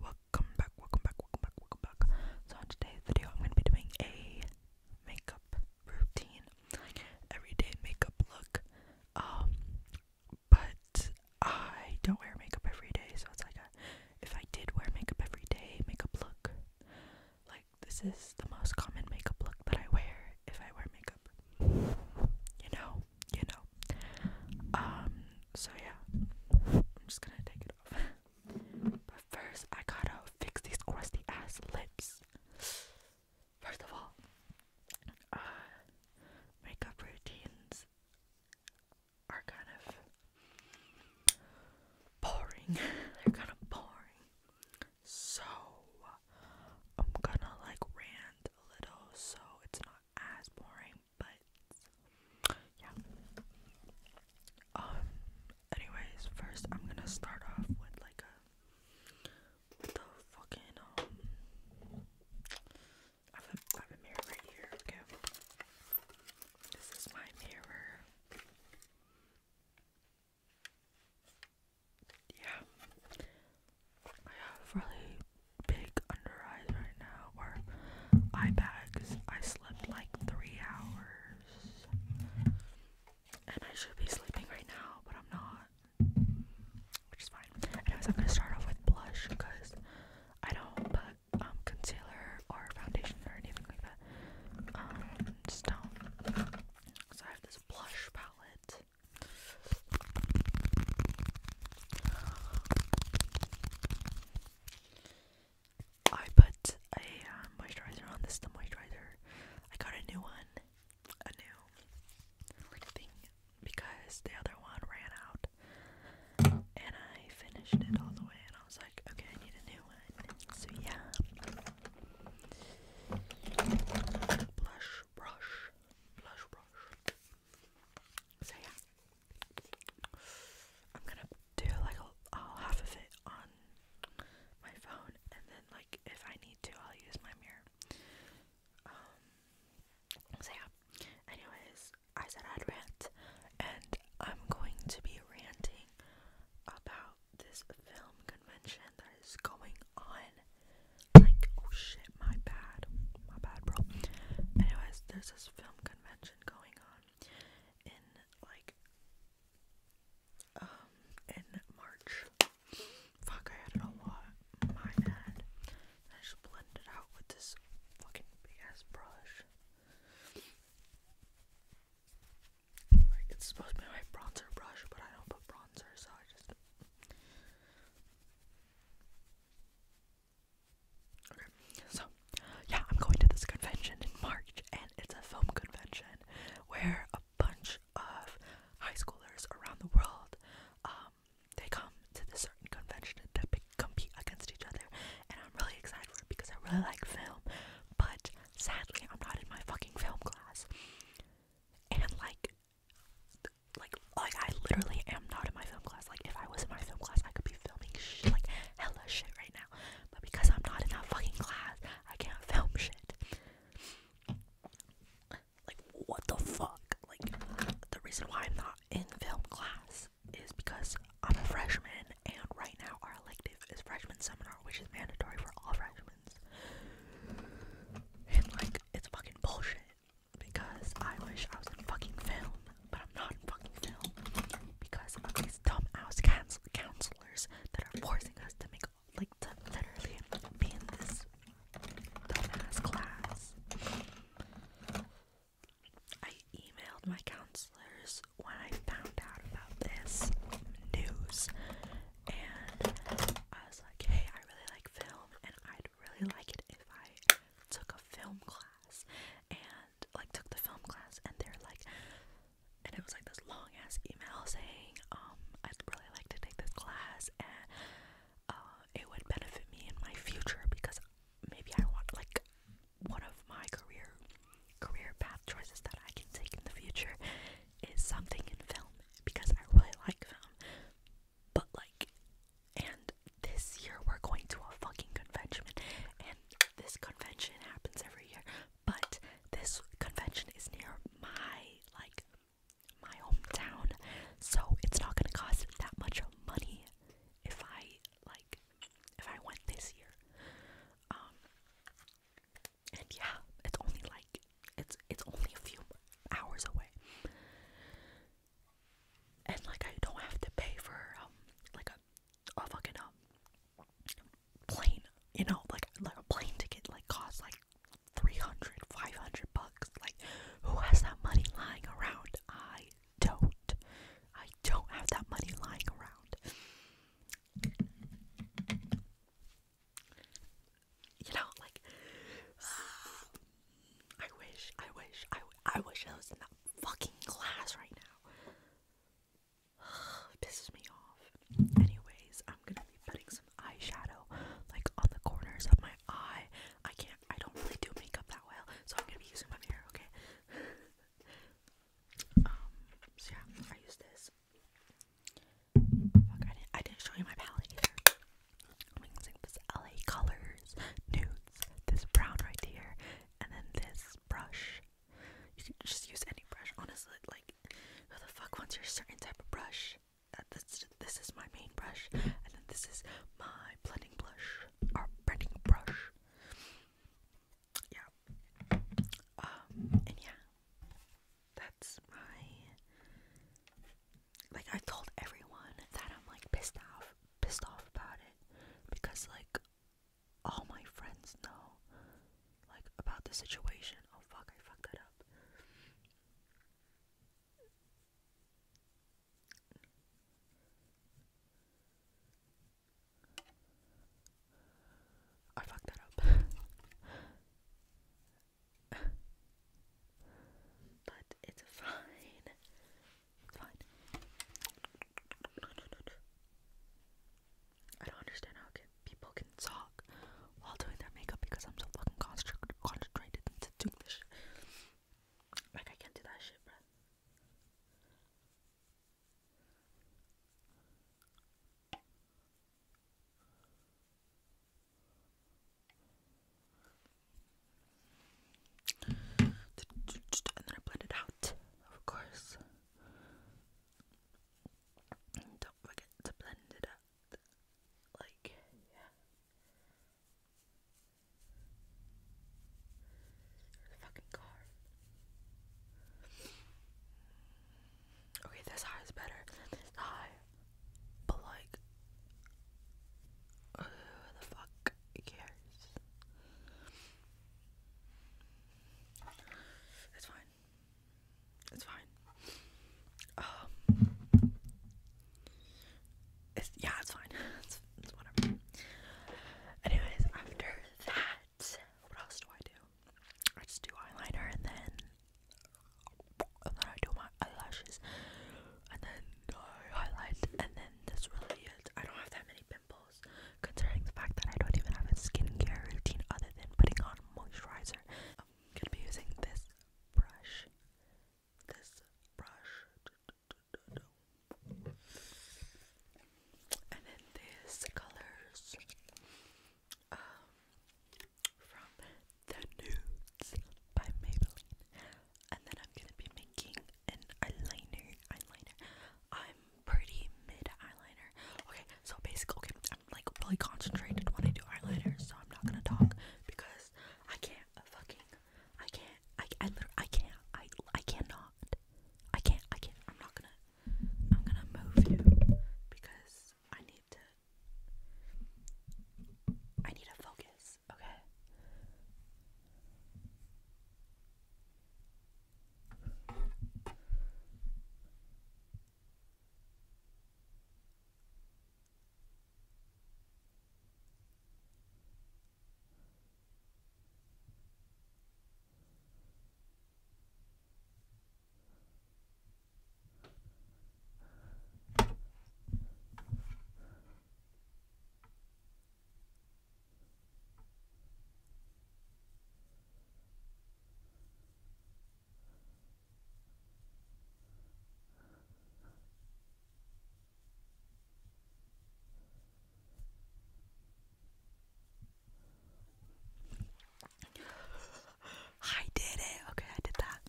Welcome back, welcome back, welcome back, welcome back. So on today's video I'm gonna be doing a makeup routine, everyday makeup look. Um but I don't wear makeup every day, so it's like a if I did wear makeup every day, makeup look. Like this is the most common makeup look that I wear if I wear makeup. You know? you know. Um, so yeah, I'm just gonna take it off. But first, I gotta fix these crusty ass lips. First of all, uh, makeup routines are kind of boring. They're kind of boring. So, I'm gonna like rant a little so it's not as boring but yeah. Um. Anyways, first I'm gonna start off with like a the fucking um. I have a, I have a mirror right here. Okay. This is my mirror. Yeah. I have really big under eyes right now, or eye bags. I slept like three hours, and I should be sleeping right now, but I'm not, which is fine. Anyways, I'm gonna start off with blush because I don't put um, concealer or foundation or anything like that. Um, just don't. So I have this blush palette. I put a um, moisturizer on. This is the moisturizer. I got a new one, a new thing, because the other one ran out. And I finished it all the way, and I was like, okay, I need a new one. So, yeah. Blush brush. Blush brush. So yeah, I'm gonna do like all half of it on my phone, and then like if I need to, I'll use my mirror. Um. So yeah. Anyways, I said I'd rant, and I'm going to be ranting about this film convention that is going on. Like, oh shit, my bad, my bad, bro. Anyways, there's this film convention convention going on in like um in March. Fuck, I added a lot. My bad. I just blended it out with this fucking big ass brush. Like it's supposed to be my bronzer brush, but I don't put bronzer, so I just Okay, so yeah, I'm going to this convention in March, and it's a film convention where a bunch of high schoolers around the world um, they come to this certain convention that they compete against each other, and I'm really excited for it because I really like film, but sadly, I'm not in my fucking film class, and like, like like I literally am not in my film class. Like if I was in my film class, I could be filming shit, like hella shit right now. But because I'm not in that fucking class, I can't film shit. Like what the fuck? Like the reason why I'm not in film class is because I'm a freshman and right now our elective is freshman seminar, which is mandatory for all freshmen. And like it's fucking bullshit because I wish I was in fucking film, but I'm not in fucking film because of these dumbass counsel counselors that are forcing us to make like to literally be in this dumbass class. I emailed my counselors when I found out about this news, and I was like, "Hey, I really like film, and I'd would really like it if I took a film class and like took the film class and they're like and it was like this long ass email saying, um, I'd really like to take this class and uh it would benefit me in my future because maybe I want like one of my career career path choices that I can take in the future is something in film because I really like film. But like and this year we're going to a fucking convention. And this convention happens every year. But this convention is near my like my hometown. So it's not gonna cost that much money if I like if I went this year. Um and yeah, it's only like it's it's only a few hours away and like I don't have to pay for um like a a fucking um plane, you know, like like a plane ticket like costs like 300, bucks. Like who has that money lying around? I don't. I don't have that money lying around. You know, like I wish, I wish, I, I wish I was in that fucking class right now. pisses me off. Anyways, I'm gonna be putting some eyeshadow like on the corners of my eye. I can't, I don't really do makeup that well, so I'm gonna be using my mirror, okay? um, so yeah, I use this. Fuck, I didn't, show you my palette I'm using this LA Colors Nude this brown right here, and then this brush. You can just use any brush, honestly. Like, who the fuck wants your certain type of brush? Uh, this, is my main brush, and then this is my blending brush or blending brush. Yeah. Um. And yeah, that's my. Like i told everyone that I'm like pissed off off pissed off about it because like all my friends know like about the situation. Oh fuck, I fucked that up. I fucked that up. but it's fine. It's fine. I don't understand how can, people can talk while doing their makeup because I'm so fucking concentrated into doing this Like, I can't do that shit, bro. And then I blend it out, of course. don't forget to blend it out. Like, yeah. fucking car. Okay, this high is better high. But like, uh, the fuck? It's fine. It's fine. Um, it's yeah, it's fine. It's, it's whatever. Anyways, after that, what else do I do? I just do eyeliner and then, and then I do my eyelashes and then no highlight, and then that's really it. I don't have that many pimples, considering the fact that I don't even have a skincare routine other than putting on moisturizer. I'm gonna be using this brush. This brush. And then these colors um, from The Nudes by Maybelline. And then I'm gonna be making an eyeliner, eyeliner. I'm pretty mid eyeliner. Okay, so basically, okay, I'm like really concentrated when I do eyeliner, so I'm not gonna talk because I can't uh, fucking, I can't, I, I I can't, I, I cannot, I can't, I can't. I'm not gonna, I'm gonna move you because I need to, I need to focus focus, okay? I did it. Okay, I did that.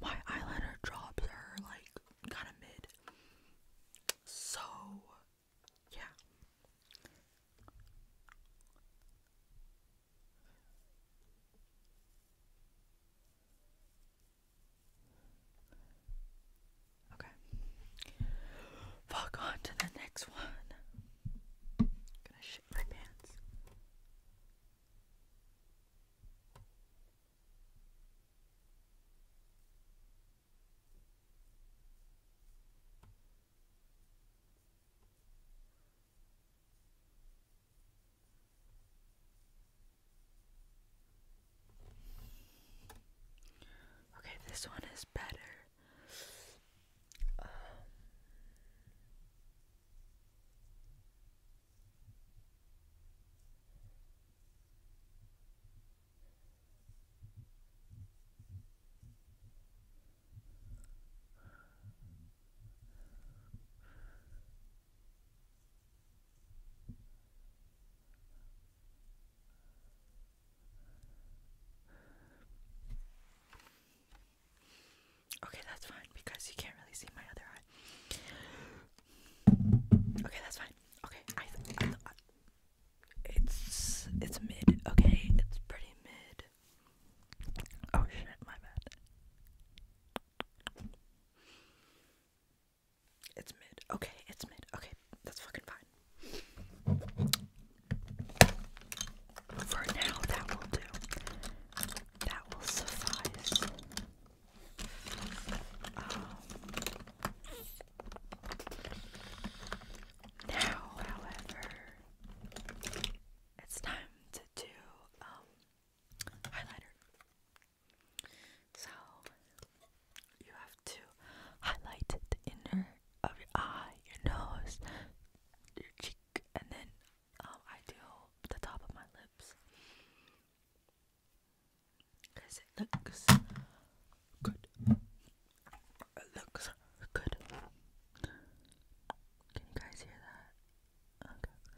My eyeliner drops are like kind of mid. So, yeah. Okay. Fuck on to the next one. gonna shit my pants. Okay, this one is better. Um, Okay, that's fine because you can't really see my other eye. Okay, that's fine. Okay, it's it's mid. Okay, it's pretty mid. Oh shit, my bad. It's mid. Okay, it's mid. Okay, that's fucking fine. For now, that will do. That will suffice now, however, it's time to do um, highlighter. So you have to highlight the inner of your eye, your nose, your cheek, and then um, I do the top of my lips. Because it looks good. It looks good. Can you guys hear that? Okay.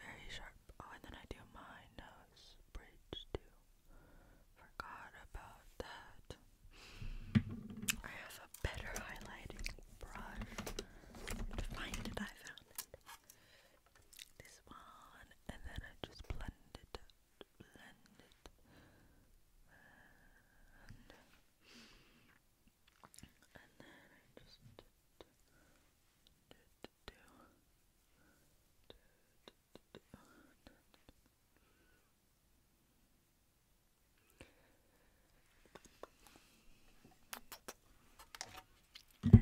Very sharp. Oh, and then I do my nose bridge too. Forgot about that. I have a better highlighting brush. To find it, I found it. This one, and then I just blend it, blend it, and, then I just and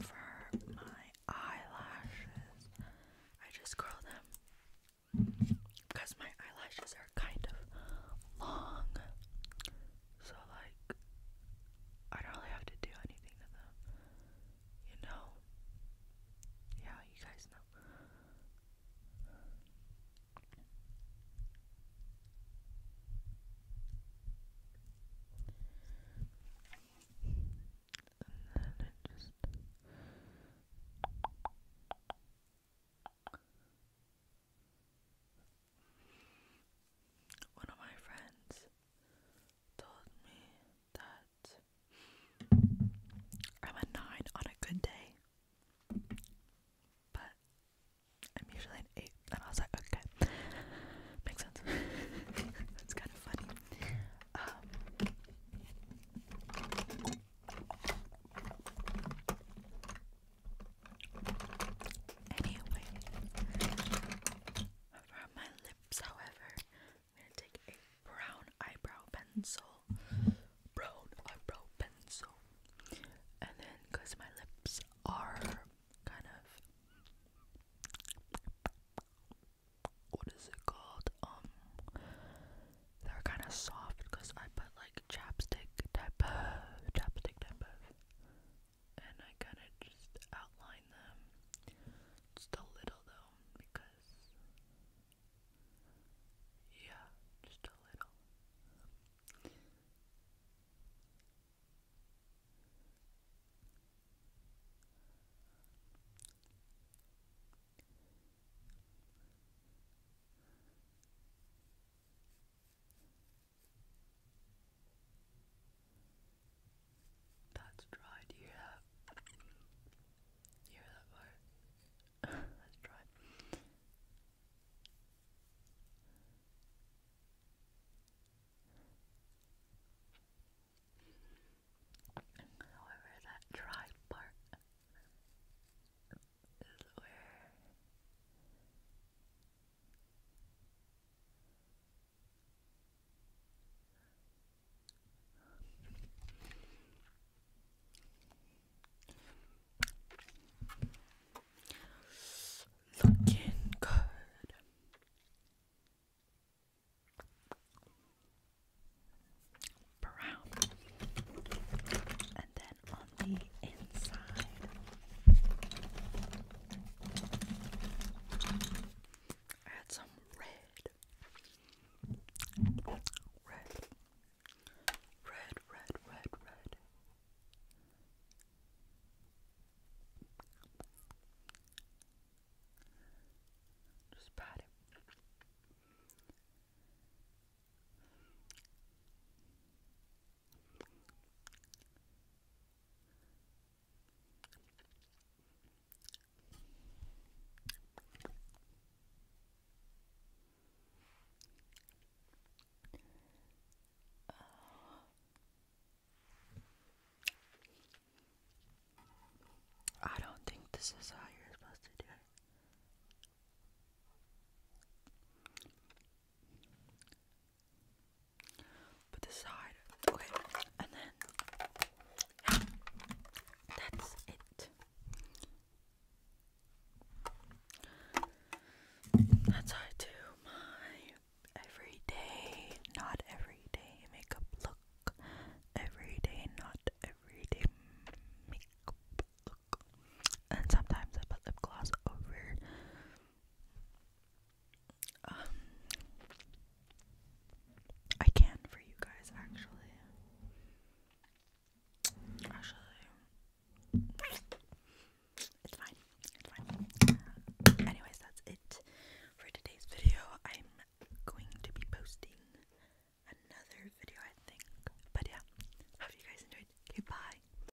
then for my eyelashes, I just curl them because my eyelashes are kind of long. So, like, I don't really have to do anything to them. You know? Yeah, you guys know. And then it just. One of my friends told me that I'm a 9 on a good day, but I'm usually an 8. And I was like, okay, makes sense. That's kind of funny. Um, Anyway, around my lips, however, I'm gonna take a brown eyebrow pencil, brown eyebrow pencil, and then because my lips are kind of what is it called? Um, they're kind of soft because I put like chapstick type of chapstick type of and I kind of just outline them just a little though because yeah just a little Okay. That's dry. Do you hear that? hear that part? That's dry. However, that dry part is where Looking good. Brown. And then on the inside, I some red, red, red, red, red, red. Just pat it. Uh, I don't think this is how you're supposed to do it. Put this Okay, and then that's it. That's how I do my everyday, not everyday makeup look. Everyday, not everyday makeup look. And sometimes I put lip gloss over um, I can for you guys actually. Actually, it's fine. It's fine. anyways, that's it for today's video. I'm going to be posting another video, I think. But yeah, hope you guys enjoyed. Goodbye.